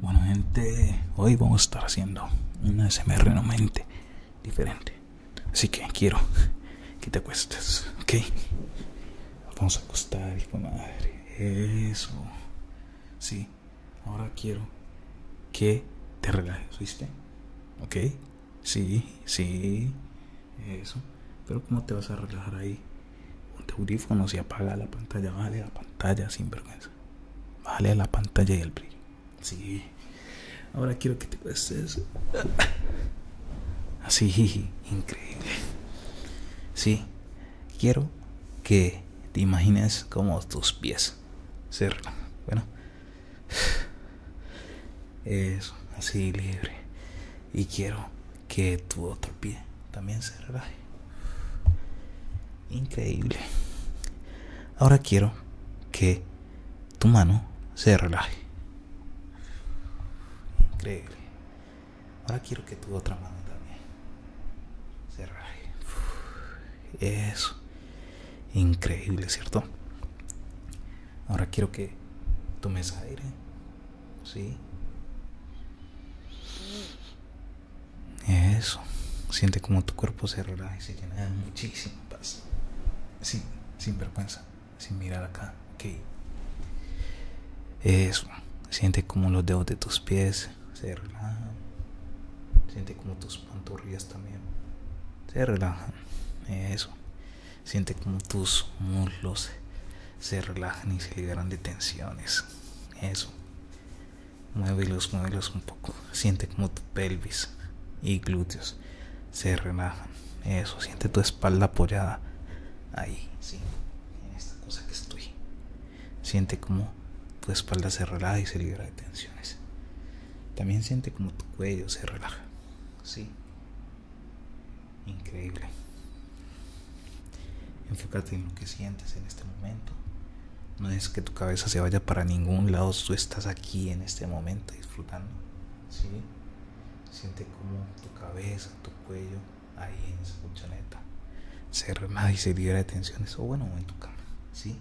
Bueno gente, hoy vamos a estar haciendo una SMR no diferente. Así que quiero que te acuestes, ¿ok? Vamos a acostar, hijo madre. Eso. Sí, ahora quiero que te relajes, ¿viste? ¿Ok? Sí, sí. Eso. Pero ¿cómo te vas a relajar ahí? Un audífono se apaga la pantalla, vale la pantalla sin vergüenza. Vale la pantalla y el brillo. Sí. Ahora quiero que te eso Así, increíble. Sí. Quiero que te imagines como tus pies. Ser, bueno. Eso, así libre. Y quiero que tu otro pie también se relaje. Increíble. Ahora quiero que tu mano se relaje. Increíble. Ahora quiero que tu otra mano también se relaje. eso. Increíble, ¿cierto? Ahora quiero que tomes aire ¿Sí? Mm. Eso. Siente como tu cuerpo se relaja y se llena ah, muchísima paz. si, sin vergüenza, sin mirar acá. Ok. Eso. Siente como los dedos de tus pies se relajan. Siente como tus pantorrillas también se relajan. Eso. Siente como tus muslos se relajan y se liberan de tensiones. Eso. los muevelos un poco. Siente como tu pelvis y glúteos se relajan. Eso, siente tu espalda apoyada. Ahí, sí, en esta cosa que estoy. Siente como tu espalda se relaja y se libera de tensiones. También siente como tu cuello se relaja. Sí, Increíble. Enfócate en lo que sientes en este momento. No es que tu cabeza se vaya para ningún lado, tú estás aquí en este momento disfrutando. Siente como tu cabeza, tu cuello, ahí en esa colchoneta, se rema y se libera de tensiones, o bueno, en tu cama. ¿sí?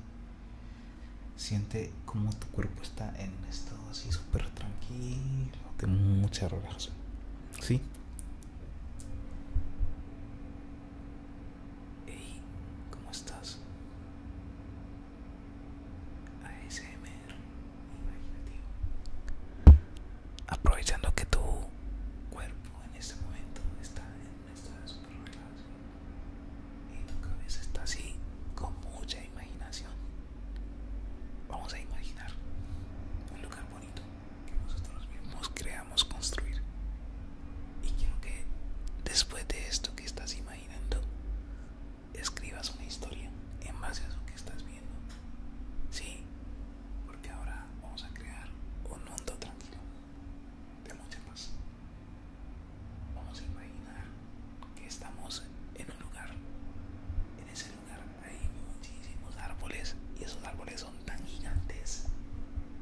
Siente como tu cuerpo está en un estado así súper tranquilo, de mucha relajación. Sí. ¿cómo estás? ASMR imaginativo. Aprovechando que tu cuerpo en este momento está en estado súper relajado y tu cabeza está así con mucha imaginación. Vamos a imaginar un lugar bonito que nosotros mismos creamos construir. Y quiero que después de esto que estás imaginando, escribas una historia en base a lo que estás viendo. Sí, porque ahora vamos a crear un mundo tranquilo, de mucha paz. Vamos a imaginar que estamos en un lugar, en ese hay muchísimos árboles y esos árboles son tan gigantes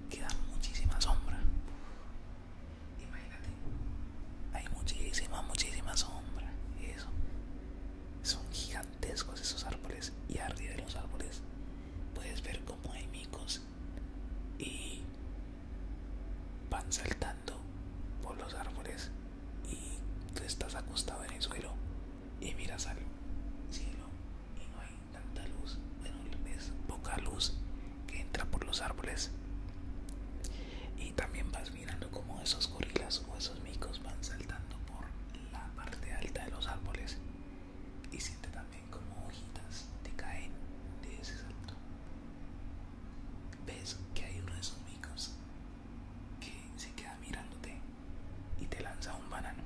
que dan muchísima sombra. Imagínate, hay muchísima, muchísima sombra. Eso son gigantescos esos árboles y arriba de los árboles puedes ver como hay micos y van saltando por los árboles y tú estás acostado en el suelo y miras al cielo y no hay tanta luz, bueno, es poca luz que entra por los árboles y también vas mirando como esos gorilas o esos micos van saltando por la parte alta de los árboles y sientes también como hojitas te caen de ese salto ves que hay uno de esos micos que se queda mirándote y te lanza un banano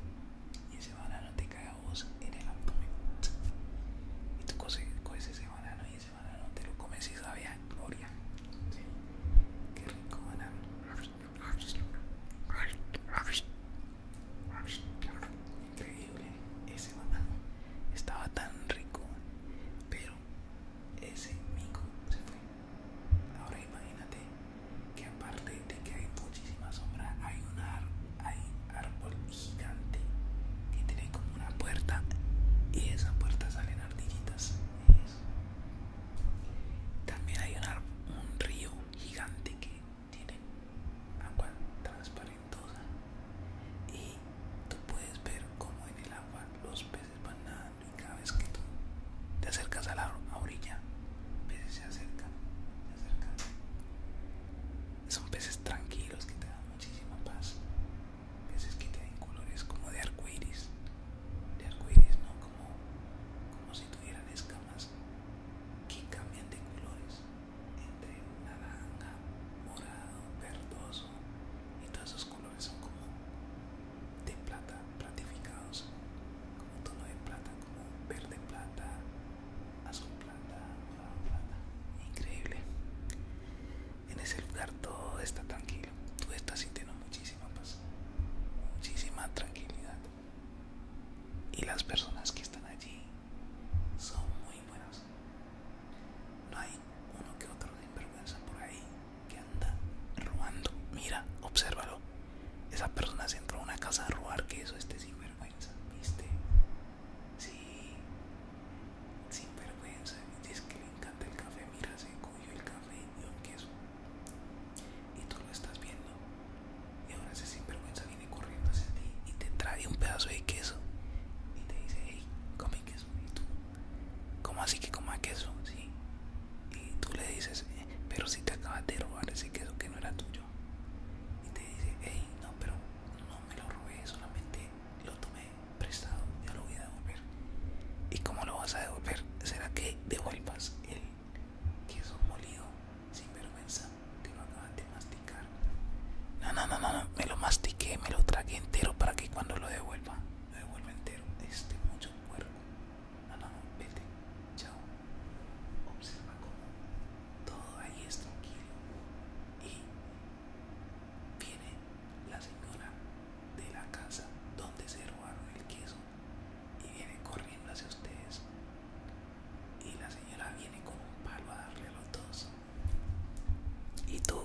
y ese banano te cae a vos en el abdomen y tú coges, ese banano y ese banano te lo comes y sabe a gloria qué rico banano increíble ese banano estaba tan rico pero ese mico se fue. Ahora imagínate que aparte de que hay muchísima sombra, hay un árbol gigante que tiene como una puerta y esa puerta salen ardillitas. También hay un río gigante que tiene agua transparente y tú puedes ver cómo en el agua los peces van nadando y cada vez que tú te acercas a la orilla, peces se acercan, se acercan. Son peces tranquilos que te dan muchísima paz, peces que tienen colores como de arcoíris, de arcoíris, ¿no? Como, como si tuvieran escamas que cambian de colores entre naranja, morado, verdoso y todos esos colores son como de plata platificados como tono de plata como verde plata azul plata morado plata increíble en ese lugar todo está tranquilo tú estás sintiendo muchísima paz muchísima tranquilidad y las personas que están allí son muy buenas. No hay uno que otro sinvergüenza por ahí que anda robando. Mira, obsérvalo. Esa persona se entró a una casa a robar queso este sinvergüenza, ¿viste? Sí, sinvergüenza. Dice que le encanta el café. Mira, se cogió el café y un queso. Y tú lo estás viendo. Y ahora ese sinvergüenza viene corriendo hacia ti y te trae un pedazo de queso y te dice, hey, come queso. Y tú, ¿cómo así que coma queso? Y tú le dices, eh, pero si te acabas de robar ese queso que no era tuyo. Y te dice, hey, no, pero no me lo robé, solamente lo tomé prestado, ya lo voy a devolver. ¿Y cómo lo vas a devolver? ¿Será que devuelvas el queso molido sin vergüenza? te lo masticar. No, no, no, no, me lo mastiqué, me lo tragué entero para que cuando lo devuelva, lo devuelva entero. Este mucho cuerpo. No, no, no, vete, chao. Observa cómo todo ahí es tranquilo. Y viene la señora de la casa donde se robaron el queso y viene corriendo hacia ustedes y la señora viene con un palo a darle a los dos. Y tú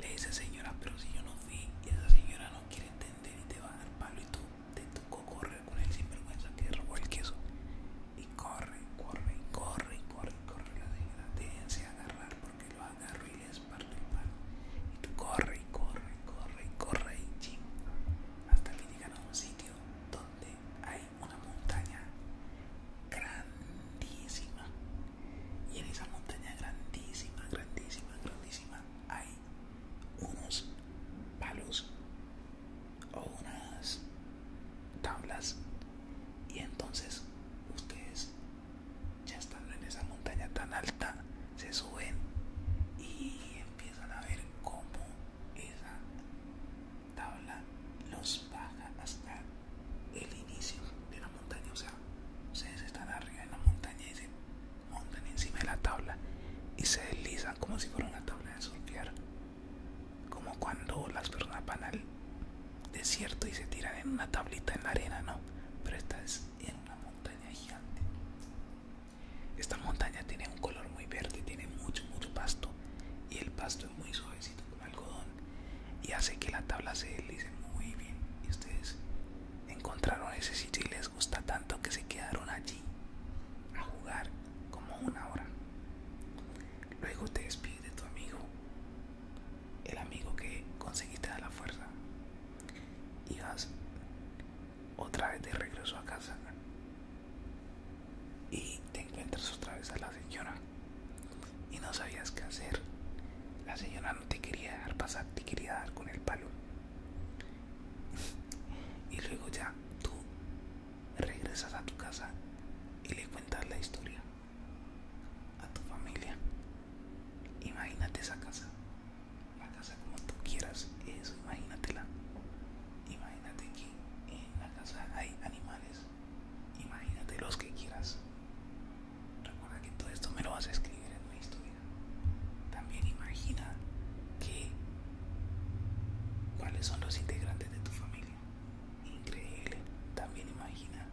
le dices, señora, pero si yo no fui y esa señora no quiere entender y te va a dar palo y tú te tocó correr con el sinvergüenza que robó el queso. Y corre, corre, corre, corre, corre la señora. Déjense agarrar porque lo agarro y les parte el palo. Y tú corre, y corre, corre, y corre, y ching. Hasta que llegan a un sitio donde hay una montaña grandísima y en esa montaña grandísima, grandísima, grandísima hay unos palos o unas tablas y entonces ustedes ya estando en esa montaña tan alta se suben y empiezan a ver cómo esa tabla los baja hasta el inicio de la montaña. O sea, ustedes están arriba en la montaña y se montan encima de la tabla y se deslizan como si fuera una tabla de surfear. Como cuando las personas van al desierto y se tiran en una tablita en la arena, ¿no? Pero esta es en una montaña gigante. Esta montaña tiene un color muy verde, tiene mucho, mucho pasto y el pasto es muy suavecito con algodón y hace que la tabla se deslice muy bien. Y ustedes encontraron ese sitio y les gusta tanto que se quedaron allí a jugar como una hora. Luego te despides de tu amigo, el amigo que conseguiste de la fuerza y vas otra vez de regreso a casa y te encuentras otra vez a la señora y no sabías qué hacer. La señora no te quería dejar pasar, te quería dar con el palo. y luego ya tú regresas a tu casa y le cuentas la historia a tu familia. Imagínate esa casa la casa como tú quieras, eso imagínatela. Imagínate que en la casa hay animales, imagínate los que quieras. Recuerda que todo esto me lo vas a escribir en una historia. También imagina que cuáles son los integrantes de tu familia. Increíble. También imagina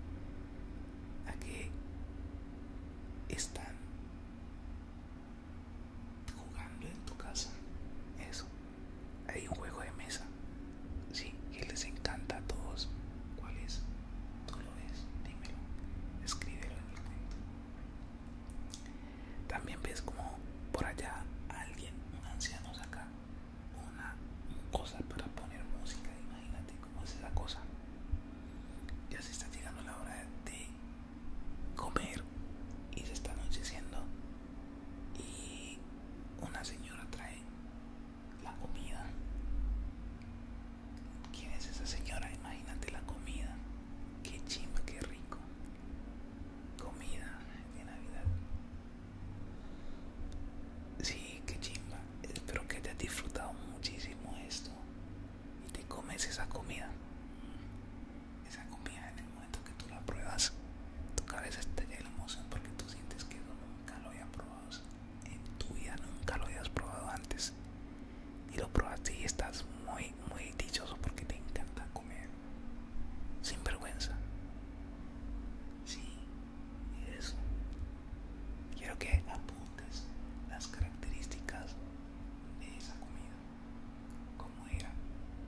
a qué están jugando en tu casa. Eso. Hay un juego de mesa. Sí, que les encanta a todos. ¿Cuál es? Tú lo ves, dímelo. Escríbelo en el cuento. También ves como por allá alguien, un anciano saca una cosa para poner música. Imagínate cómo es esa cosa. Ya se está llegando la hora de comer y se está anocheciendo y una señora trae la comida. ¿Quién es esa señora? Imagínate la comida. Qué chimba, qué rico. Comida de Navidad. Sí, qué chimba. Espero que te hayas disfrutado muchísimo esto y te comes esa comida. Esa comida en el momento que tú la pruebas, tu cabeza llena de emoción porque tú sientes que nunca lo habías probado en tu vida, nunca lo hayas probado antes. Y lo pruebas y estás muy, muy dichoso porque te encanta comer. Sin vergüenza. Sí, eso. Quiero que apuntes las características de esa comida, cómo era,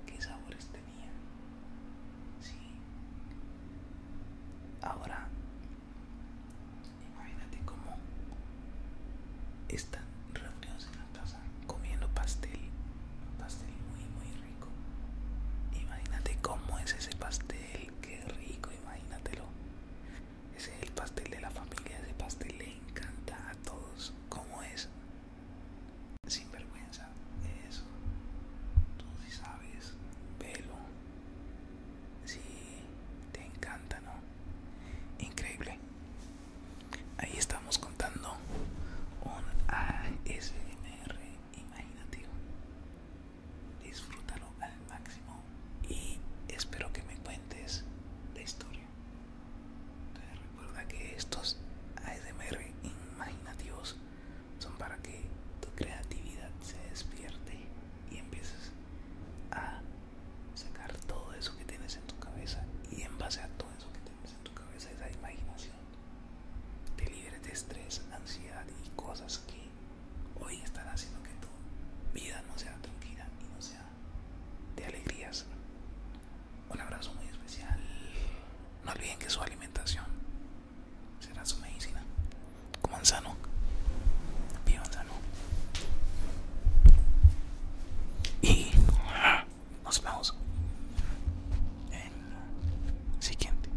qué sabores tenía. Sí. Ahora, imagínate cómo están reunidos en la casa comiendo pastel, pastel muy, muy rico. Imagínate cómo es ese pastel, qué rico, imagínatelo. Ese es el pastel de la familia, ese pastel le encanta a todos. ¿Cómo es? Sin vergüenza, eso. Tú sí sabes, Pelo. Sí, te encanta, ¿no? Increíble. Ahí estamos contando un ASMR imaginativo disfrútalo al máximo y espero que me cuentes la historia. recuerda que estos ASMR imaginativos son para que tu creatividad se despierte y empieces a sacar todo eso que tienes en tu cabeza y en base a todo eso que tienes en tu cabeza, esa imaginación, te libres de estrés, ansiedad y cosas que hoy estará haciendo que tu vida no sea tranquila y no sea de alegrías. Un abrazo muy especial. No olviden que su alimentación será su medicina. Coman sano, vivan sano. Y nos vemos en el siguiente.